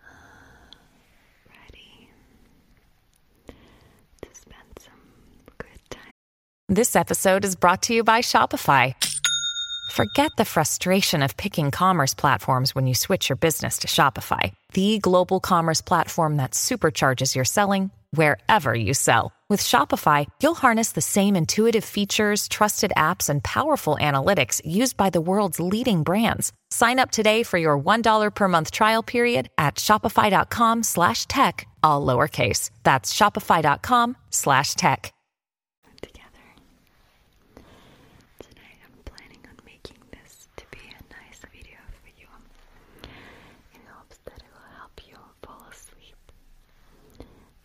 Uh, this episode is brought to you by Shopify. Forget the frustration of picking commerce platforms when you switch your business to Shopify, the global commerce platform that supercharges your selling wherever you sell with Shopify, you'll harness the same intuitive features, trusted apps, and powerful analytics used by the world's leading brands. Sign up today for your $1 per month trial period at shopify.com slash tech, all lowercase. That's shopify.com slash tech. Together. Tonight I'm planning on making this to be a nice video for you in hopes that it will help you fall asleep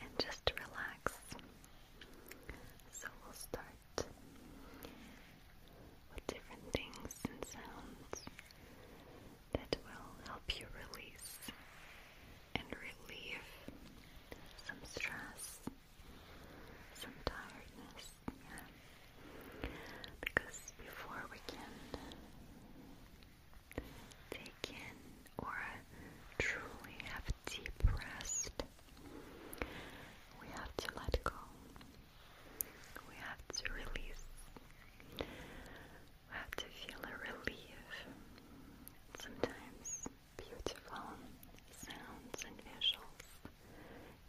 and just relax. So we'll start with different things and sounds that will help you release and relieve some stress, some tiredness, Because before we can they can or truly have deep rest, we have to let go. We have to release. We have to feel a relief. Sometimes beautiful sounds and visuals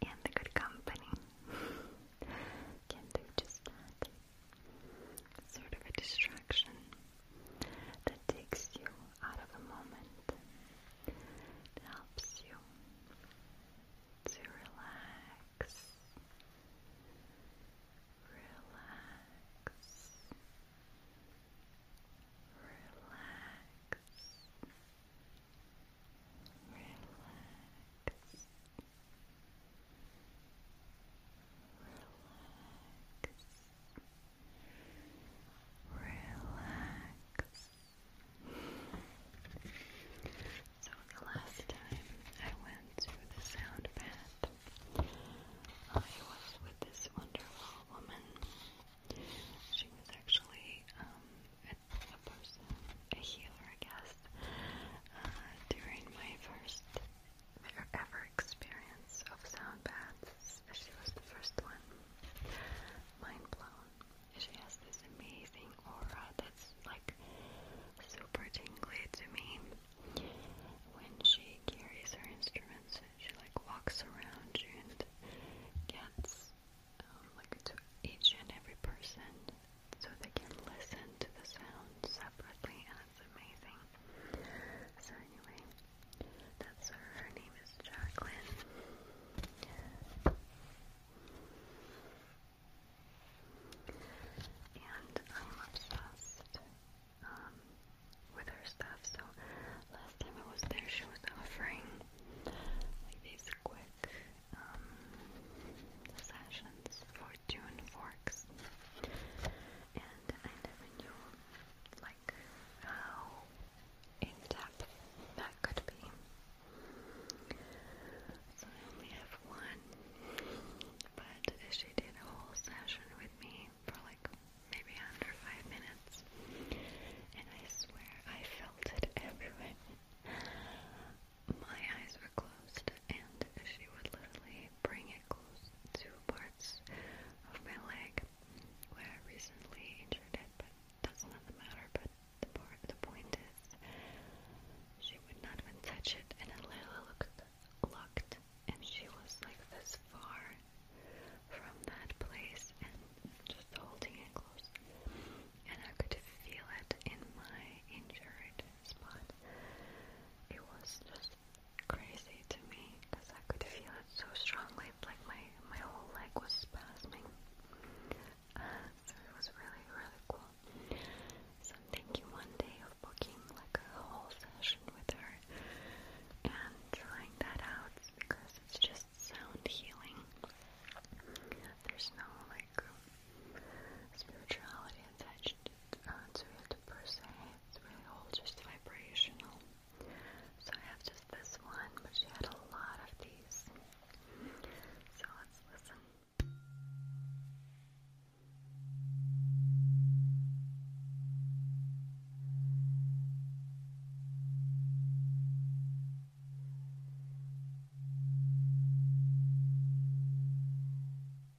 and the good company can do just that sort of a distraction that takes you out of the moment. helps you to relax, relax, relax, relax Relax. So the last time I went to the sound bath, I was with this wonderful woman. She was actually um, a, person, a healer, I guess, uh, during my first their ever experience of sound baths. She was the first one. Mind blown. She has this amazing aura that's like super tingly to me. When she carries her instruments, she like walks around and gets um, like to each and every person so they can listen to the sound separately and that's amazing. So anyway, that's her. Her name is Jacqueline. And I'm obsessed um, with her stuff. So last time I was there, she was offering like these quick um, sessions fortune forks. And I never knew like how in depth that could be. So I only have one. But she did a whole session with me for like maybe under five minutes. And I swear I felt it everywhere my eyes were closed, and she would literally bring it close to parts of my leg where I recently injured it, but that's not the matter. But the part, the point is, she would not even touch it, and a little looked, looked, and she was like this far from that place, and just holding it close, and I could feel it in my injured spot. It was just crazy to me because I could feel it so strongly, like my, my whole leg was spasming. Uh, so it was really, really cool. So I'm thinking one day of booking like a whole session with her and trying that out because it's just sound healing. There's no like spirituality attached uh, it's per se, it's really all just vibrational. So I have just this one, but she had a lot of these. So let's listen. Thank you.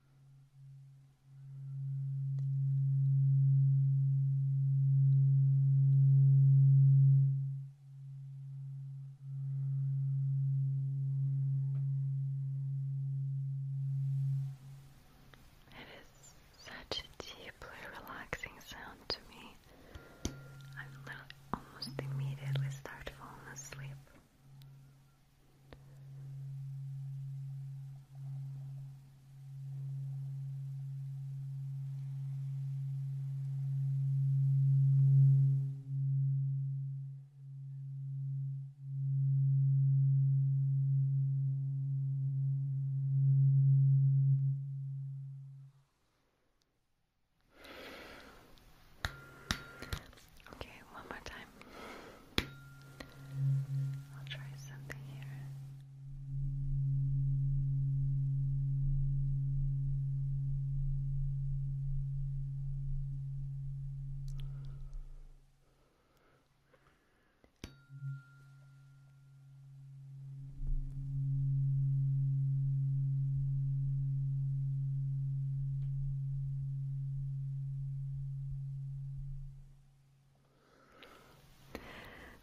It is such a deeply relaxing sound to me. I almost immediately start falling asleep. Okay, one more time. I'll try something here. Okay.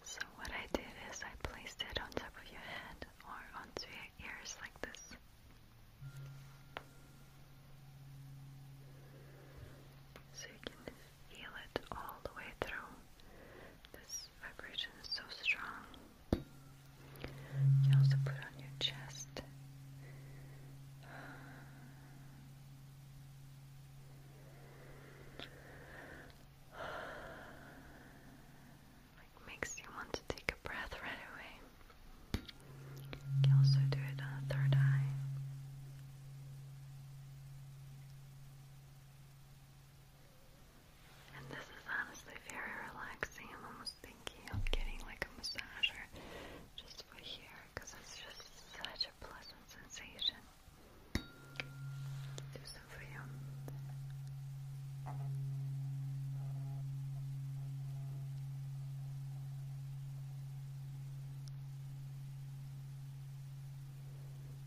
So what I did is I placed it on top of your head or onto your ears like this. So you can feel it all the way through. This vibration is so strong. You can also put on your chest. Like makes you want to take a breath right away. You can also do it on the third eye. And this is honestly very relaxing. I'm almost thinking of getting like a massage just for here because it's just such a pleasant sensation. Do some for you.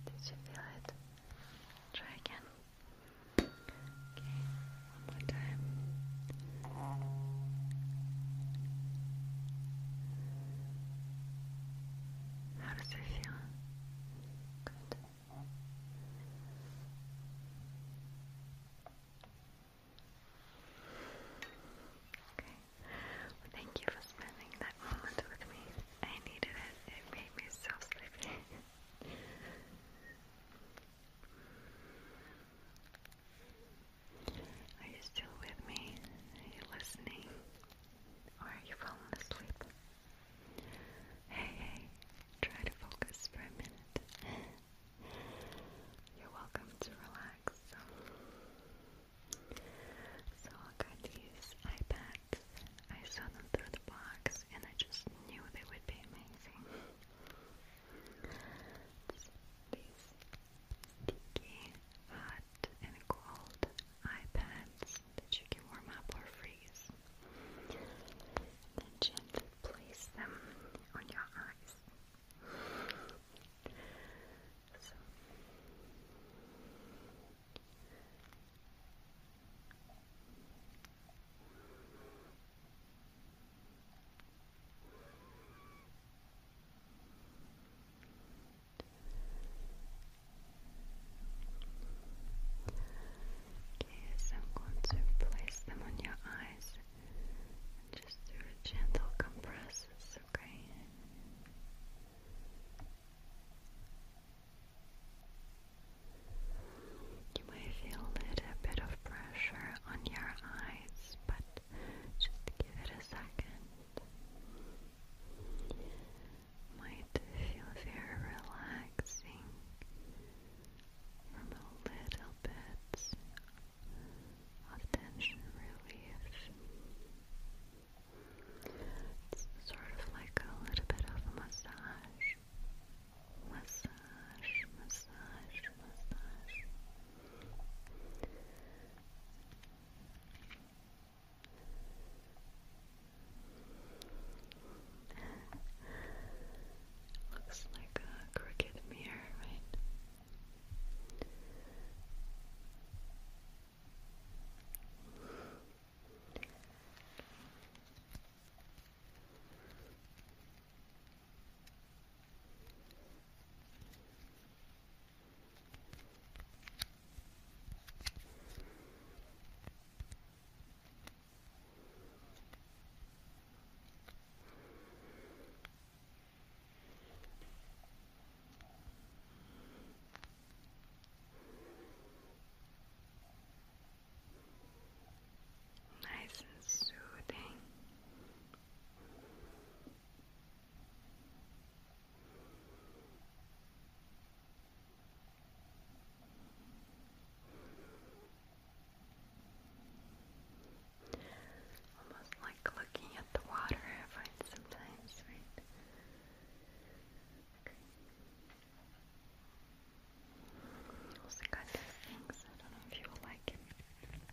Did you feel it? Try again. Okay, one more time. How does it feel? Good. Okay. Well, thank you for spending that moment with me. I needed it. It made me so sleepy. Are you still with me? Are you listening? Or are you falling asleep? Hey, hey, try to focus for a minute. You're welcome to relax. So I got these iPads. I saw them through the box and I just knew they would be amazing. So these sticky, hot, and cold iPads that you can warm up or freeze. Then gently place them on your eyes. Okay, so I'm going to place them on your eyes and just do a gentle compresses, okay? You may feel a little bit of pressure on your eyes, but just give it a second. Might feel very relaxing from a little bit of tension relief. It's sort of like a little bit of a massage. Massage, massage, massage. Looks like a crooked mirror, right? Nice and soothing Almost like looking at the water, I find sometimes, right? Also got these things, I don't know if you like it.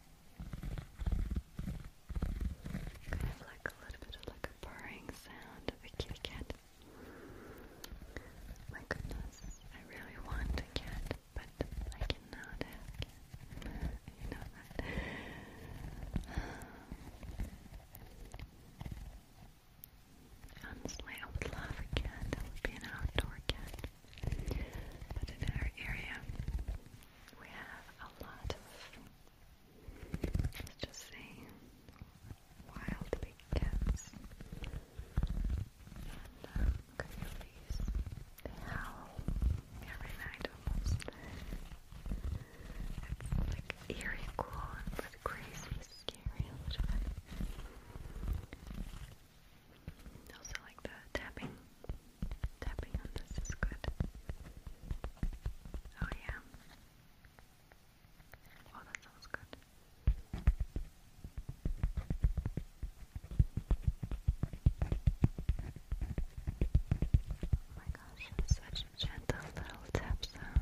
Kind of like a little bit of like a purring sound of a kitty cat. My goodness, I really want a cat, but I cannot have a you know Honestly, I would love a cat. That would be an outdoor cat. But in our area, we have a lot of, let's just say, wild big cats. And um, they howl every night almost. It's like eerie cool, but crazy, scary Also like the tapping Tapping on this is good. Oh, yeah. Oh, that sounds good. Oh my gosh, such a gentle little tap sound.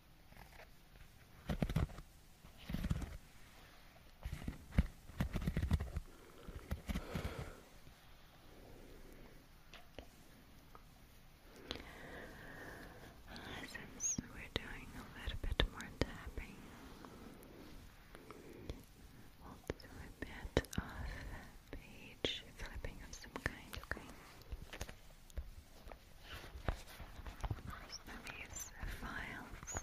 Since we're doing a little bit more tapping, we'll bit of page flipping of some kind, okay? some of these files.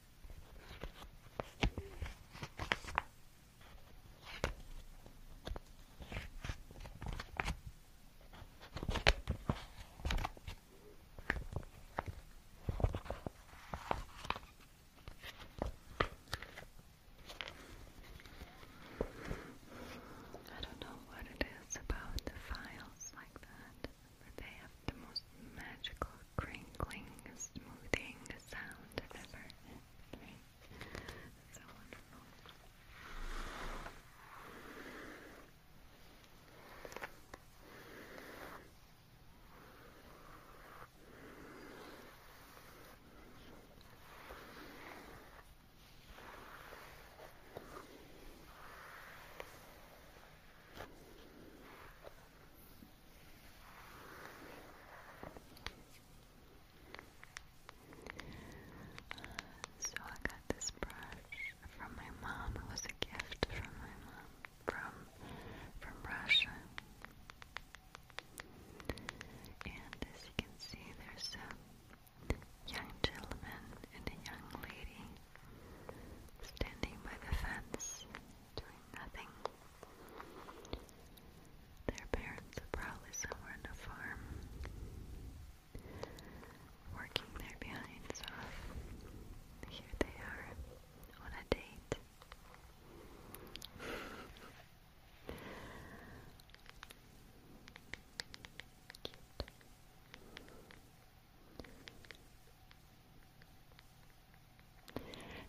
I don't know what it is about the files like that, but they have the most magical crinkling, smoothing sound So wonderful. So I got this brush from my mom. It was a gift from my mom from from Russia. And as you can see there's a young gentleman and a young lady standing by the fence doing nothing. Their parents are probably somewhere in a farm, working their behinds off. Here they are on a date.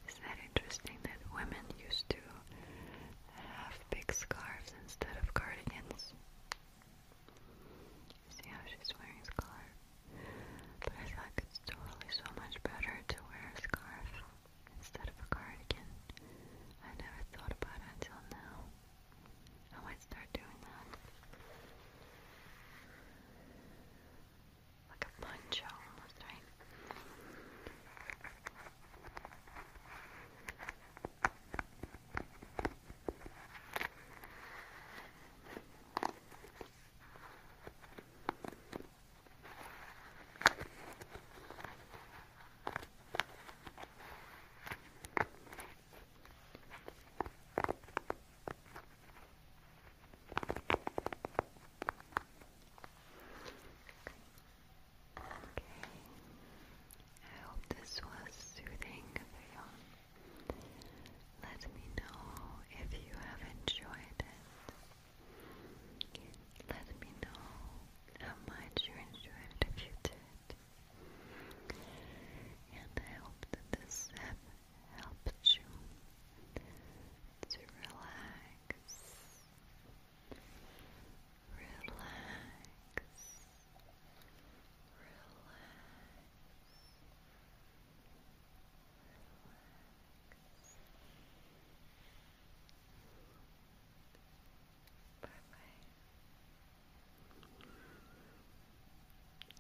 Is that interesting that women used to have big scarves instead of cardigans? See how she's wearing scarf? But I thought it's totally so much better to wear a scarf instead of a cardigan. I never thought about until now. I might start doing that like a poncho almost, right? Okay. I hope this was soothing for you. Let me know if you have enjoyed it. Let me know how much you enjoyed it if you did. And I hope that this happened helps you to relax, relax, relax, relax. Perfect.